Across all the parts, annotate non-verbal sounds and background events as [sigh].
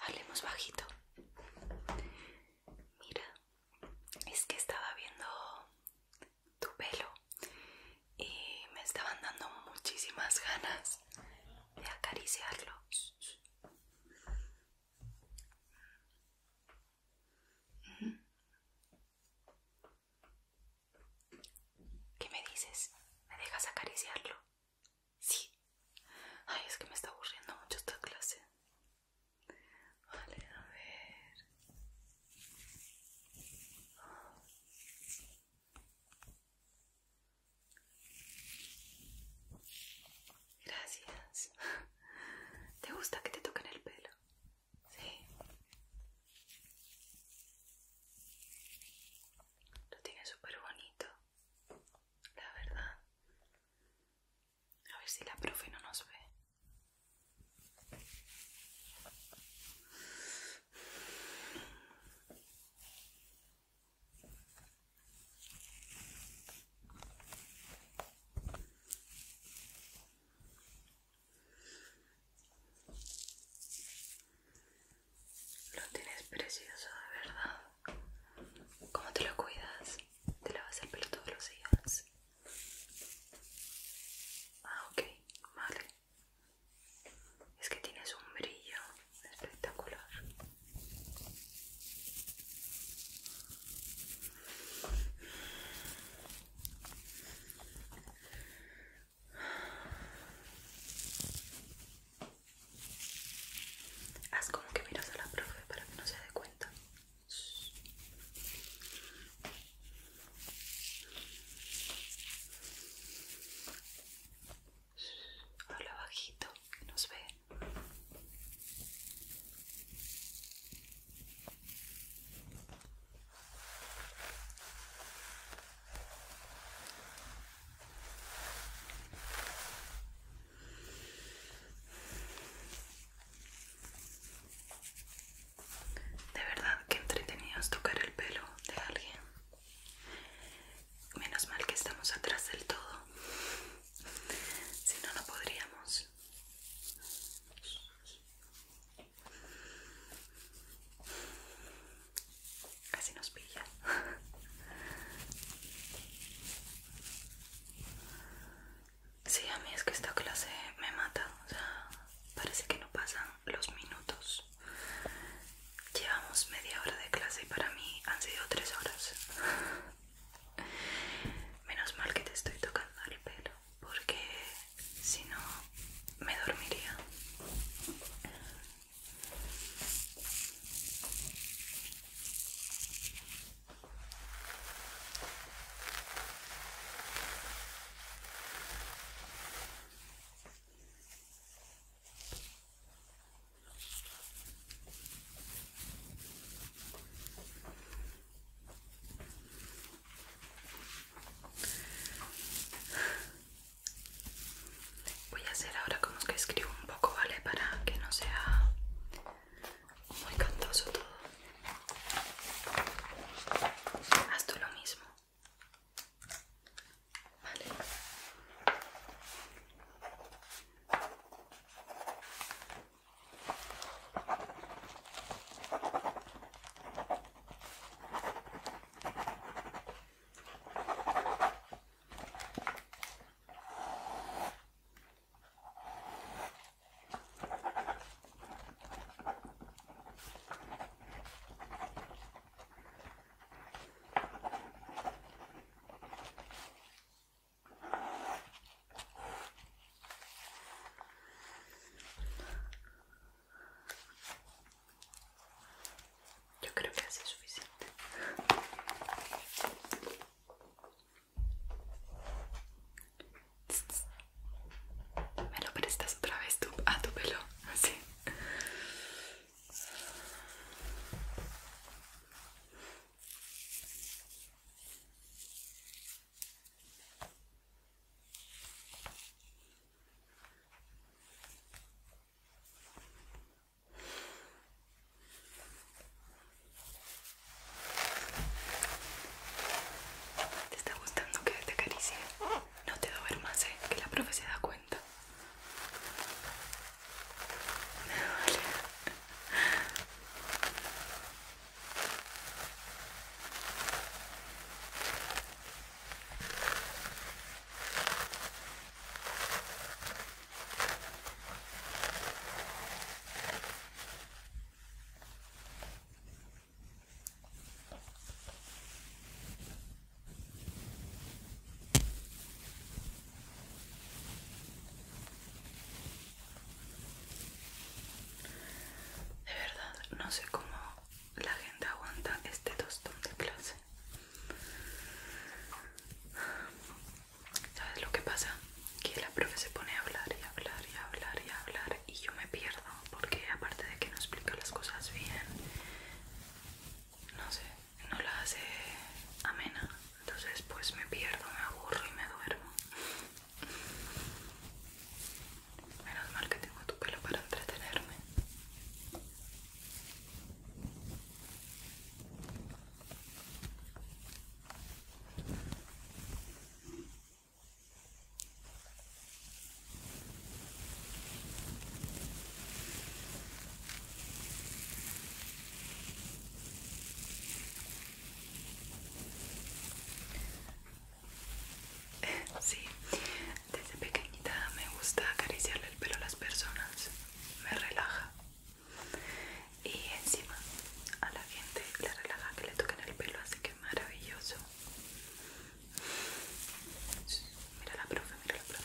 Hablemos bajito. Mira, es que estaba viendo tu pelo y me estaban dando muchísimas ganas de acariciarlo. ¿Qué me dices? ¿Me dejas acariciarlo? Sí. Ay, es que me está aburriendo mucho esta clase. Vale, a ver. Gracias. ¿Te gusta que te toquen el pelo? Sí. Lo tiene súper bonito, la verdad. A ver si la profe no nos ve. Lo tienes precioso, de verdad. ¿Cómo te lo cuidas? ¿Te vas a pelo todos los días? Ah, ok, vale. Es que tienes un brillo espectacular. Haz como que miras a la profe para que no se dé cuenta. Habla bajito, que nos ve. De verdad que entretenidos tocar el pelo de alguien. Menos mal que estamos atrás del todo. Si no, no podríamos. Casi nos pilla. Sí, a mí es que esta clase me mata, o sea, parece que no pasan los minutos. Llevamos media hora de clase y para mí han sido tres horas. Menos mal que te estoy tocando el pelo, porque si no me dormiría. Voy a hacer ahora como que escribo un poco, ¿vale? Para que no sea muy cantoso todo. Haz tú lo mismo. Vale. Vale. Yo creo que es suficiente. Me lo prestas otra vez tú, a tu pelo, así. ¿Te está gustando que te acaricie? No te doy más, ¿eh? que la profe se da cuenta. De verdad, no sé cómo la gente aguanta este tostón de clase. ¿Sabes lo que pasa? que la profe se pone a hablar y hablar y hablar y hablar y yo me pierdo porque aparte de que no explica las cosas bien, no sé, no la hace amena. Entonces pues me pierdo, me aburro y me duermo. Menos mal que tengo tu pelo para entretenerme. Sí, desde pequeñita me gusta acariciarle el pelo a las personas, me relaja y encima a la gente le relaja que le toquen el pelo, así que maravilloso. Mira la profe, mira la profe.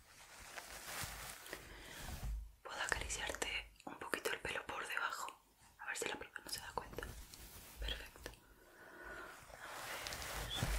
Puedo acariciarte un poquito el pelo por debajo. A ver si la prueba no se da cuenta. Perfecto. A ver.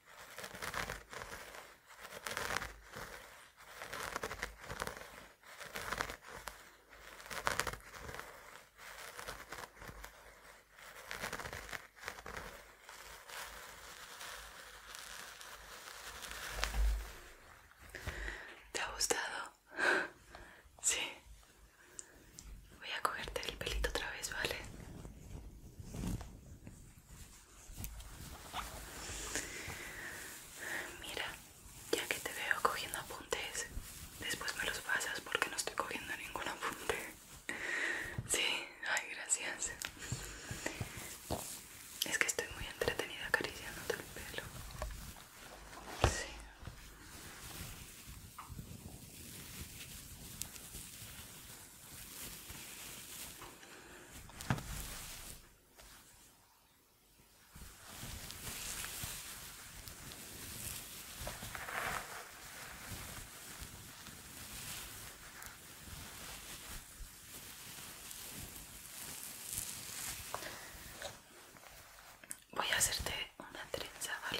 ¿Te ha gustado? [laughs] Sí. Voy a cogerte el pelito otra vez, ¿vale? Mira, ya que te veo cogiendo apuntes, después me los pasas porque no estoy cogiendo ningún apunte. Sí, ay, gracias. Es que estoy muy entretenida acariciándote el pelo. Sí. Voy a hacerte una trenza, ¿vale?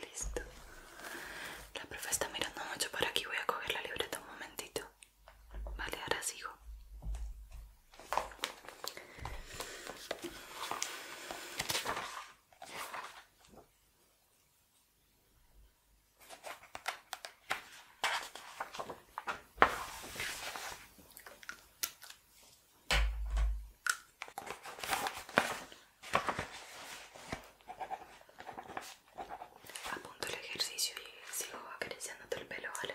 Listo. La profe está mirando mucho por aquí. Voy a coger la libreta un momentito. Vale, ahora sigo. Apunto el ejercicio y sigo todo el pelo, ¿vale?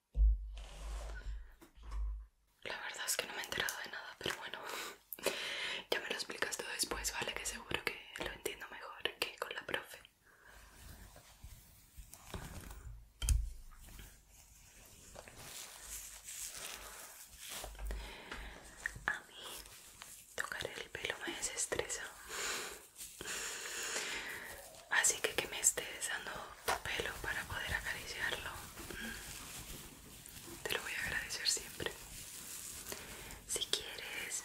La verdad es que no me he enterado de nada, pero bueno, [laughs] ya me lo explicas tú después, ¿vale? Que seguro que lo entiendo mejor que con la profe. A mí tocar el pelo me desestresa. Así que que me estés dando tu pelo para poder acariciarlo. Mm. Te lo voy a agradecer siempre. Si quieres,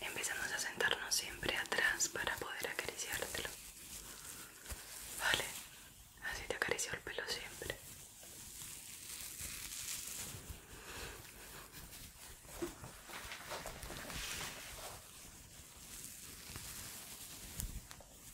empezamos a sentarnos siempre atrás para poder acariciártelo. Vale, así te acaricio el pelo siempre.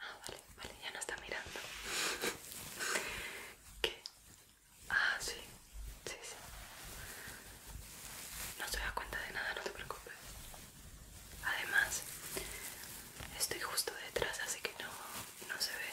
Ah, vale, vale, ya no está mirando. [laughs] ¿Qué? Ah, sí, sí, sí. No se da cuenta de nada, no te preocupes. Además, estoy justo detrás, así que no, no se ve.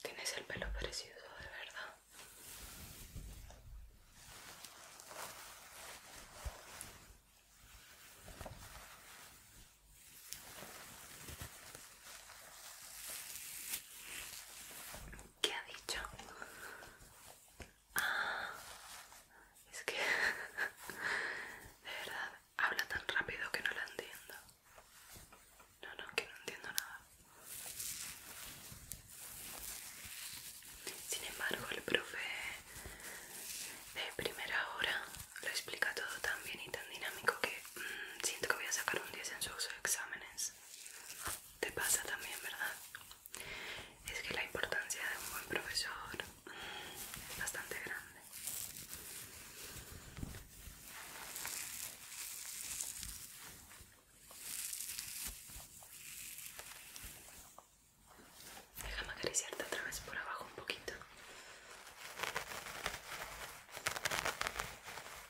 Tienes el pelo precioso, de verdad. ¿Qué ha dicho? Ah, es que [laughs] de verdad habla tan rápido que no la entiendo. No, no, que no entiendo nada. Sin embargo, el profe de primera hora lo explica todo tan bien y tan dinámico que siento que voy a sacar un 10 en sus exámenes. Te pasa también, ¿verdad? Es que la importancia de un buen profesor es bastante grande. Déjame acariciarte otra vez por abajo un poquito.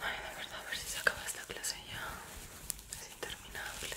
Ay, de verdad, a ver si se acaba esta clase ya. Es interminable.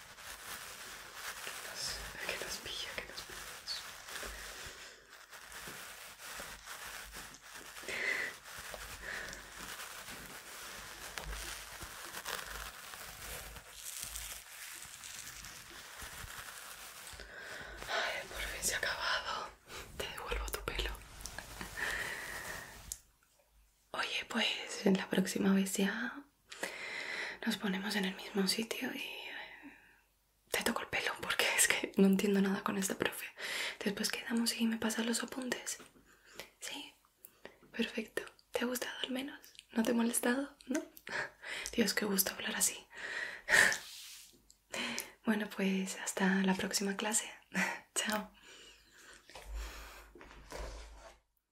que nos pilla, que nos pilla Ay, por fin se ha acabado. Te devuelvo tu pelo. Oye, pues en la próxima vez ya nos ponemos en el mismo sitio y eh, te toco el pelo porque [laughs] es que no entiendo nada con esta profe. Después quedamos y me pasas los apuntes. Sí, perfecto. ¿Te ha gustado al menos? ¿No te ha molestado? ¿No? [laughs] Dios, qué gusto hablar así. [laughs] Bueno, pues hasta la próxima clase. Chao.